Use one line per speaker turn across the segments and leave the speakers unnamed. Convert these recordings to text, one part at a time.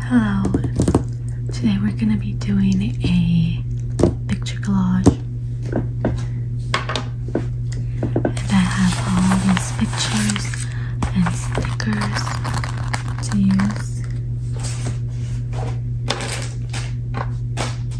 Hello. Today we're going to be doing a picture collage. And I have all these pictures and stickers to use. I'm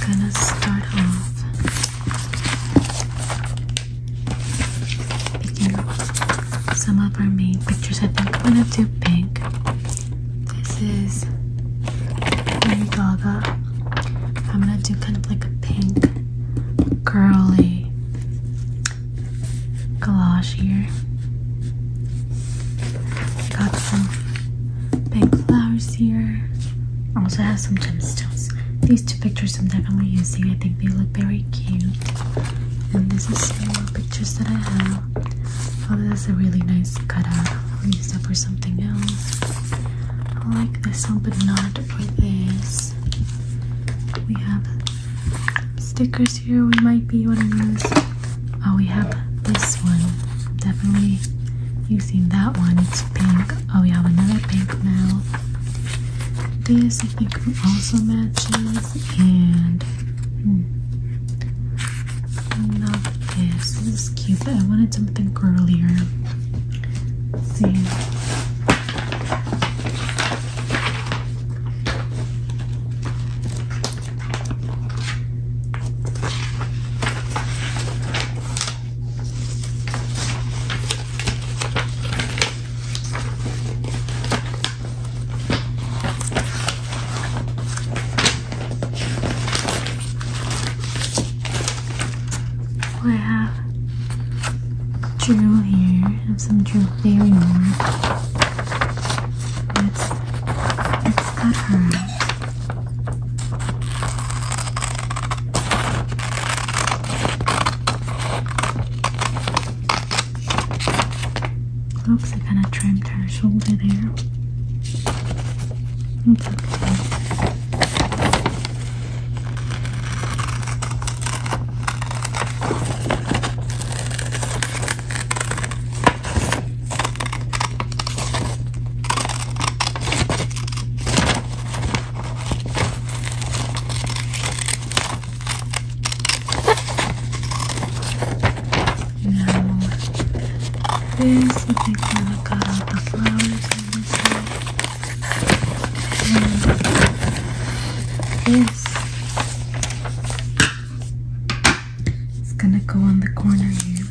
gonna start off picking up some of our main pictures. I think we're gonna do pink. This is Lady Gaga I'm gonna do kind of like a pink curly collage here. Got some big flowers here. Also have some gemstones. These two pictures I'm definitely using. I think they look very cute. And this is some more pictures that I have. Oh, that's a really nice cutout. I'll use that for something else. I like this one, but not for this. We have stickers here. We might be able to use. Oh, we have this one. Definitely using that one. It's pink. Oh, we have another pink now. This I think also matches, and hmm, this is cute, but I wanted something girlier. see. I have drill here. have some drill fairy more. let cut her. Oops, I kind of trimmed her shoulder there. It's okay. Now, this, you can look at the flowers this is gonna go on the corner here.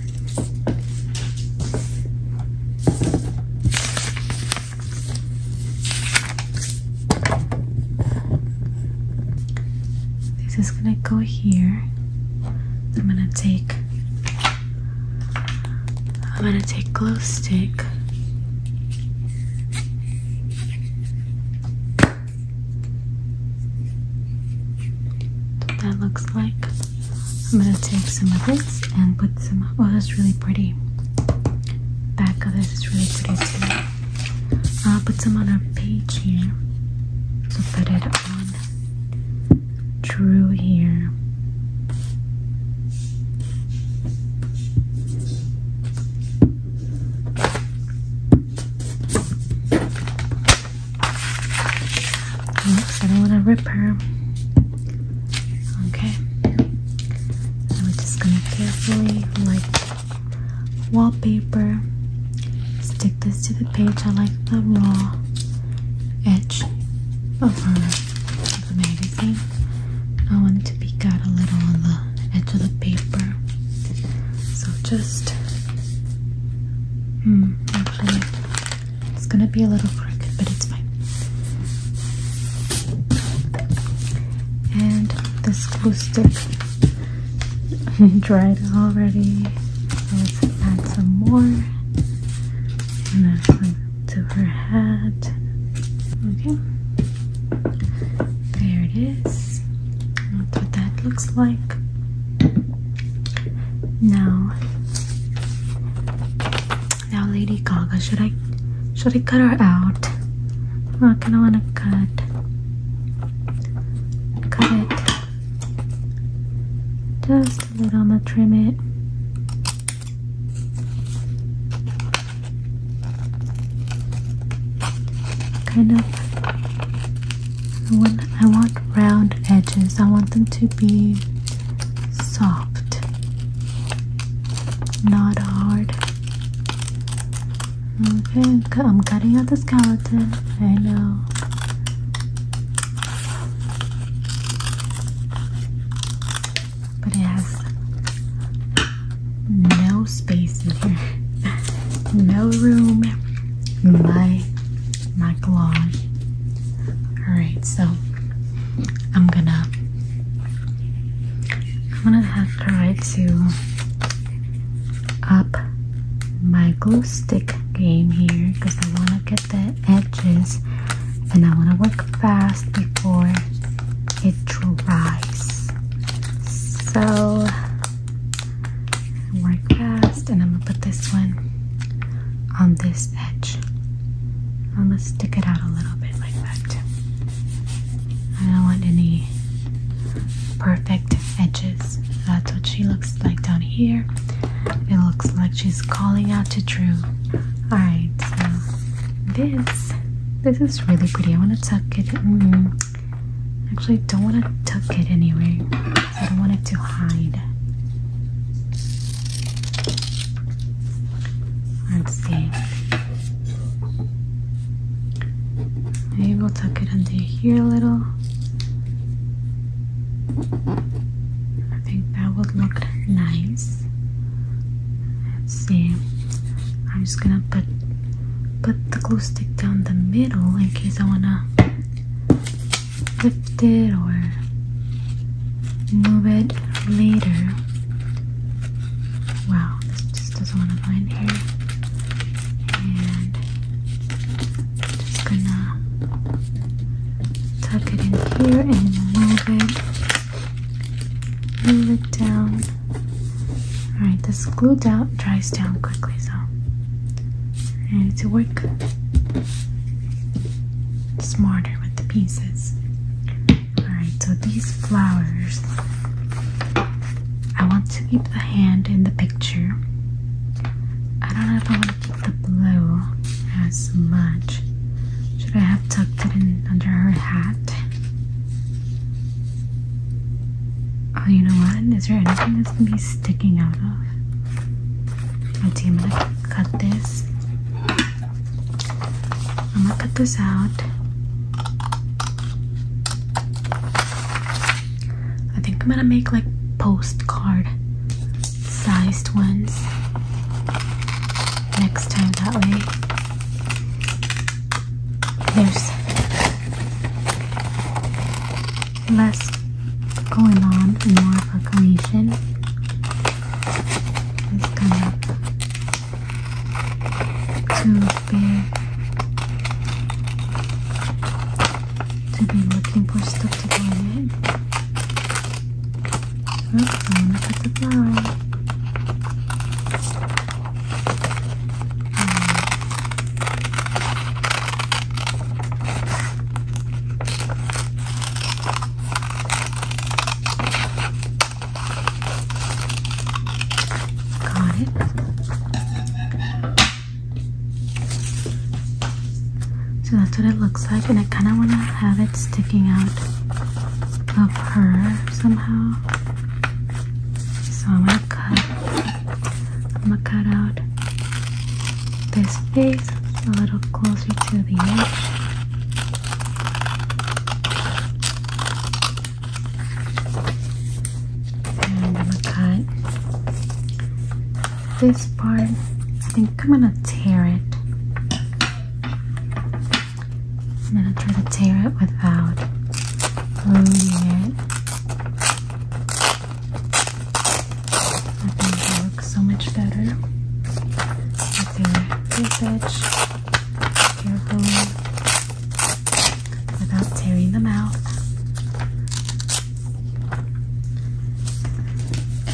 This is gonna go here. I'm gonna take I'm gonna take glow stick that looks like. I'm gonna take some of this and put some oh that's really pretty. Back of this is really pretty too. I'll put some on our page here. So put it Drew here. I don't want to rip her. Okay. I'm just gonna carefully, like wallpaper, stick this to the page. I like the raw edge of her the magazine. I wanted to peek out a little on the edge of the paper. So just hmm, actually it's gonna be a little crooked, but it's fine. And this glue stick dried already. Let's add some more and then to her hat. Okay, there it is. That's what that looks like. Now, now Lady Gaga, should I, should I cut her out? I'm not gonna wanna cut. Cut it. Just but I'm gonna trim it. Kind of, I want, I want round edges. I want them to be soft, not hard. Okay, I'm cutting out the skeleton. I know. But it has no space in here. no room. My my collage. Alright, so I'm gonna I'm gonna have to try to up my glue stick game here because I wanna get the edges and I want to work fast before it dries so work fast and I'm gonna put this one on this edge I'm gonna stick it out a little bit like that I don't want any perfect edges that's what she looks like down here. It looks like she's calling out to Drew. Alright, this this is really pretty. I wanna tuck it mm-hmm. Actually don't wanna tuck it anyway. I don't want it to hide. Let's see. Maybe we'll tuck it under here a little. I think that would look nice. Let's see. I'm just gonna put put the glue stick down the middle in case I wanna lift it or move it later. Wow, this just doesn't want to bind here. And just gonna tuck it in here and move it, move it down. All right, this glue down dries down quickly, so I need to work smarter with the pieces. All right, so these flowers, I want to keep the hand in the picture. I don't know if I the blow as much. Should I have tucked it in under her hat? Oh, you know what? Is there anything that's gonna be sticking out of? I think I'm gonna cut this. I'm gonna cut this out. I think I'm gonna make like postcard sized ones next time that way. There's less going on and more of a cohesion. It's kind of too big to be looking for stuff to go in Okay, look at the flower. Got it. So that's what it looks like, and I kind of want to have it sticking out of her somehow. So I'm gonna cut. I'm gonna cut out this face a little closer to the edge. And I'm gonna cut this part, I think I'm gonna tear it. I'm gonna try to tear it without ruining it. I think it looks so much better. Tear this edge carefully without tearing the mouth.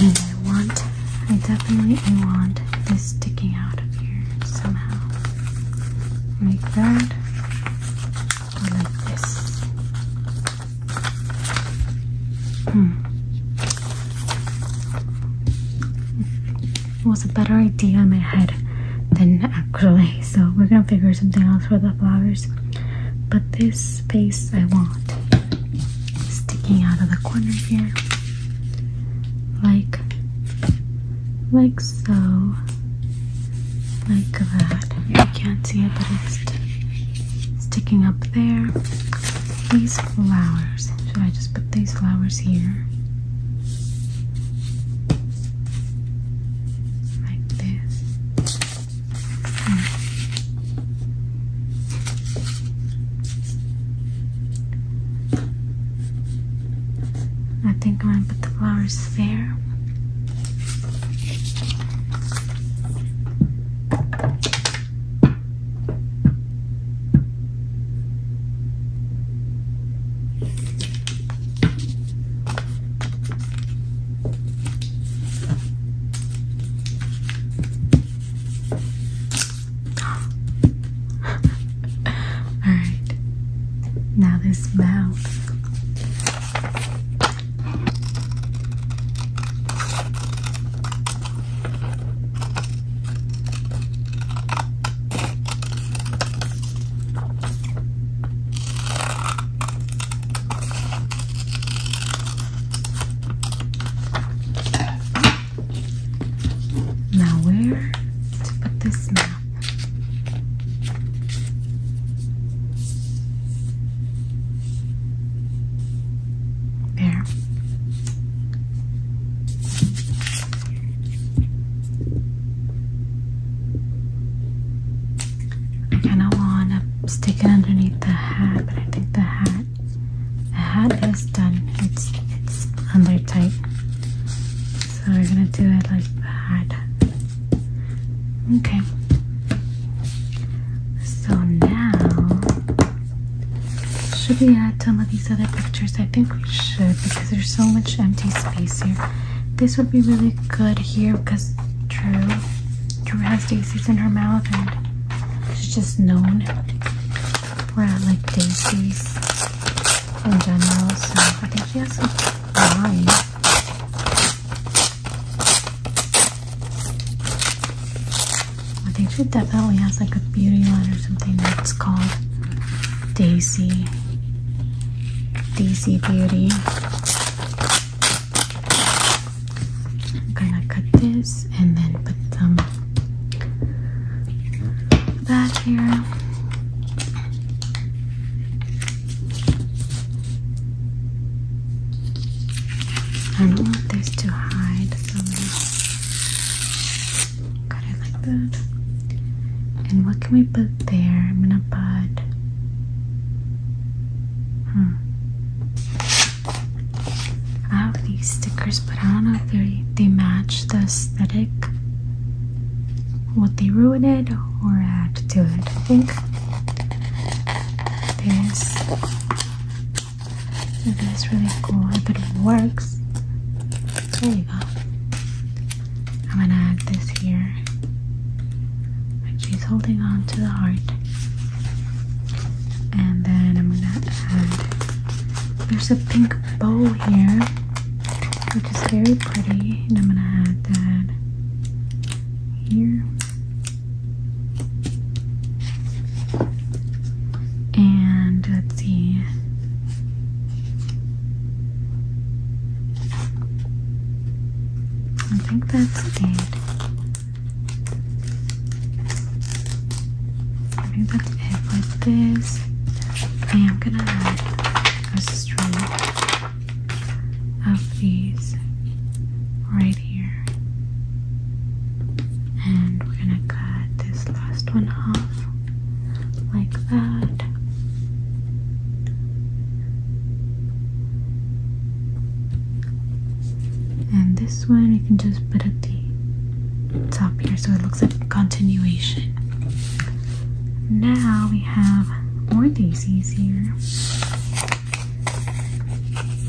And I want, I definitely want this sticking out of here somehow. Like that, or like this. Hmm. was a better idea in my head than actually, so we're gonna figure something else for the flowers. But this space I want sticking out of the corner here like like so like that you can't see it but it's sticking up there these flowers should I just put these flowers here like this Hmm. I think I'm gonna put the flowers there. Alright, now this mouth. Now, where to put this map? There. I kind of want to stick it underneath the hat, but I think the hat the hat is done. It's it's under tight, so we're gonna do it like that. Okay. So now should we add some of these other pictures? I think we should because there's so much empty space here. This would be really good here because true. She has daisies in her mouth and she's just known for like daisies in general. So I think she has some wine. I think she definitely has like a beauty line or something that's called Daisy. Daisy Beauty. I'm gonna cut this and then put some back here. I don't want this to hide, cut it like that. And what can we put there? I'm gonna put. Hmm. I have these stickers, but I don't know if they they match the aesthetic. What they ruin it or add to it? I think this this is really cool. If it works, there you go. I'm gonna add this here. Like she's holding on to the heart. And then I'm gonna add, there's a pink bow here, which is very pretty. And I'm gonna add that here. And let's see. I think that's it. I'm going to hit with this. I am going to have a string of these right here. And we're going to cut this last one off like that. And this one you can just put at the top here so it looks like a continuation. Now we have more daisies here.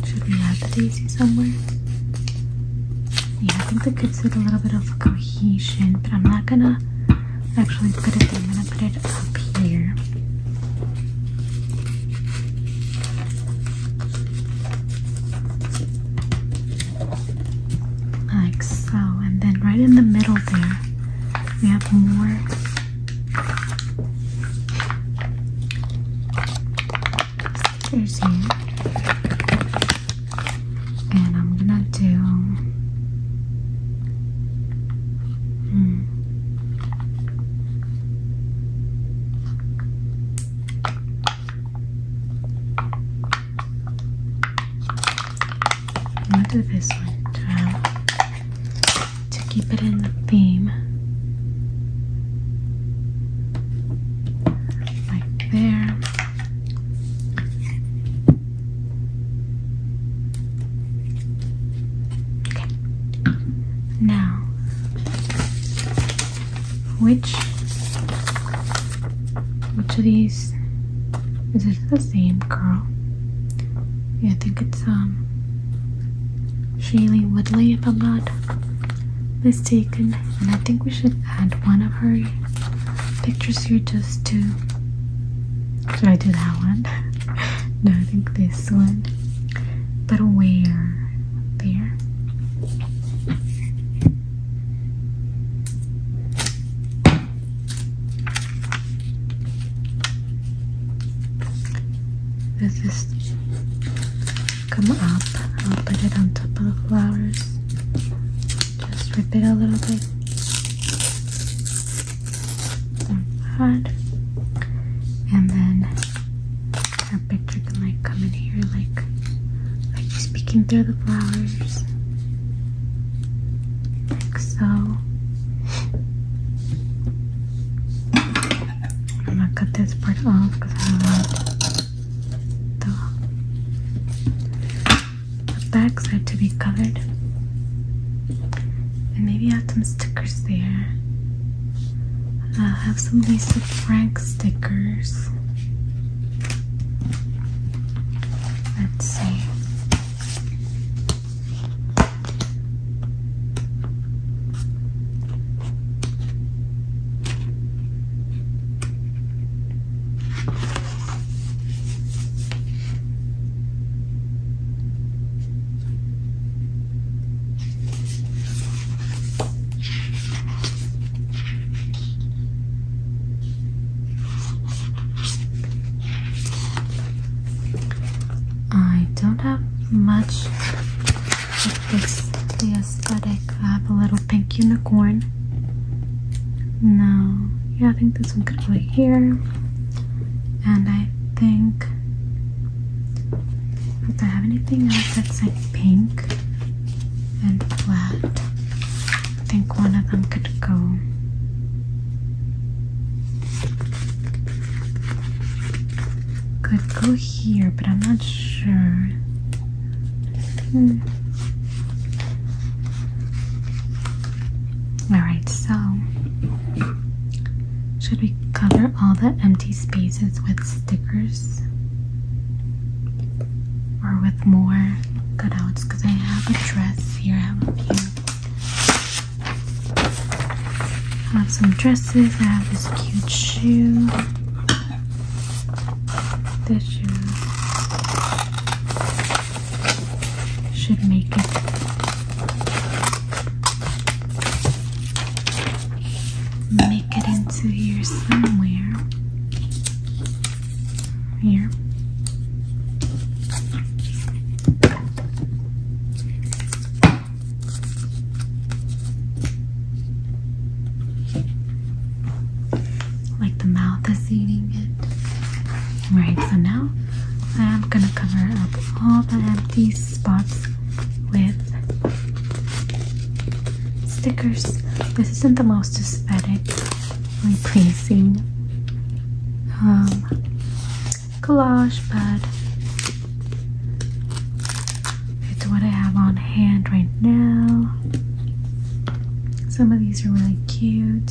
Should we add the daisy somewhere? Yeah, I think that gives it a little bit of cohesion, but I'm not gonna actually put it there. I'm gonna put it up here like so and then right in the middle there we have more stickers here and I'm gonna do hmm i What do this one? Well, to keep it in the theme, like there. Okay. Now which which of these is this the same girl? I think it's um Shaylee Woodley if I'm not mistaken. And I think we should add one of her pictures here just to should I do that one? no, I think this one. But where? there. This come up. I'll put it on top of the flowers. Just rip it a little bit. Hard. And then our picture can like come in here like like just through the flowers. Like so. I'm gonna cut this part off because I do want the, back side to be covered, And maybe add some stickers there. I uh, have some Lisa Frank stickers. Let's see. I don't have much of this, the aesthetic. I have a little pink unicorn. No, yeah, I think this one could go here. And I think if I have anything else that's like pink and flat, I think one of them could go. Could go here, but I'm not sure. Hmm. Alright, so should we cover all the empty spaces with stickers? Or with more cutouts? Because I have a dress here, I have a few. I have some dresses, I have this cute shoe. This shoe should make it Get it into here somewhere. Here. Like the mouth is eating it. Right, so now I'm gonna cover up all the empty spots with stickers. This isn't the most aesthetically pleasing um, collage, but it's what I have on hand right now. Some of these are really cute.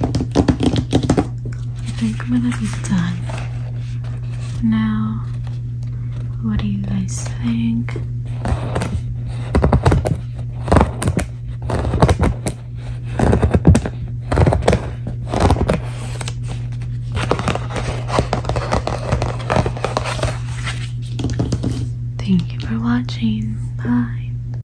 I think I'm gonna be done now. What do you guys think? Thank you for watching. Bye.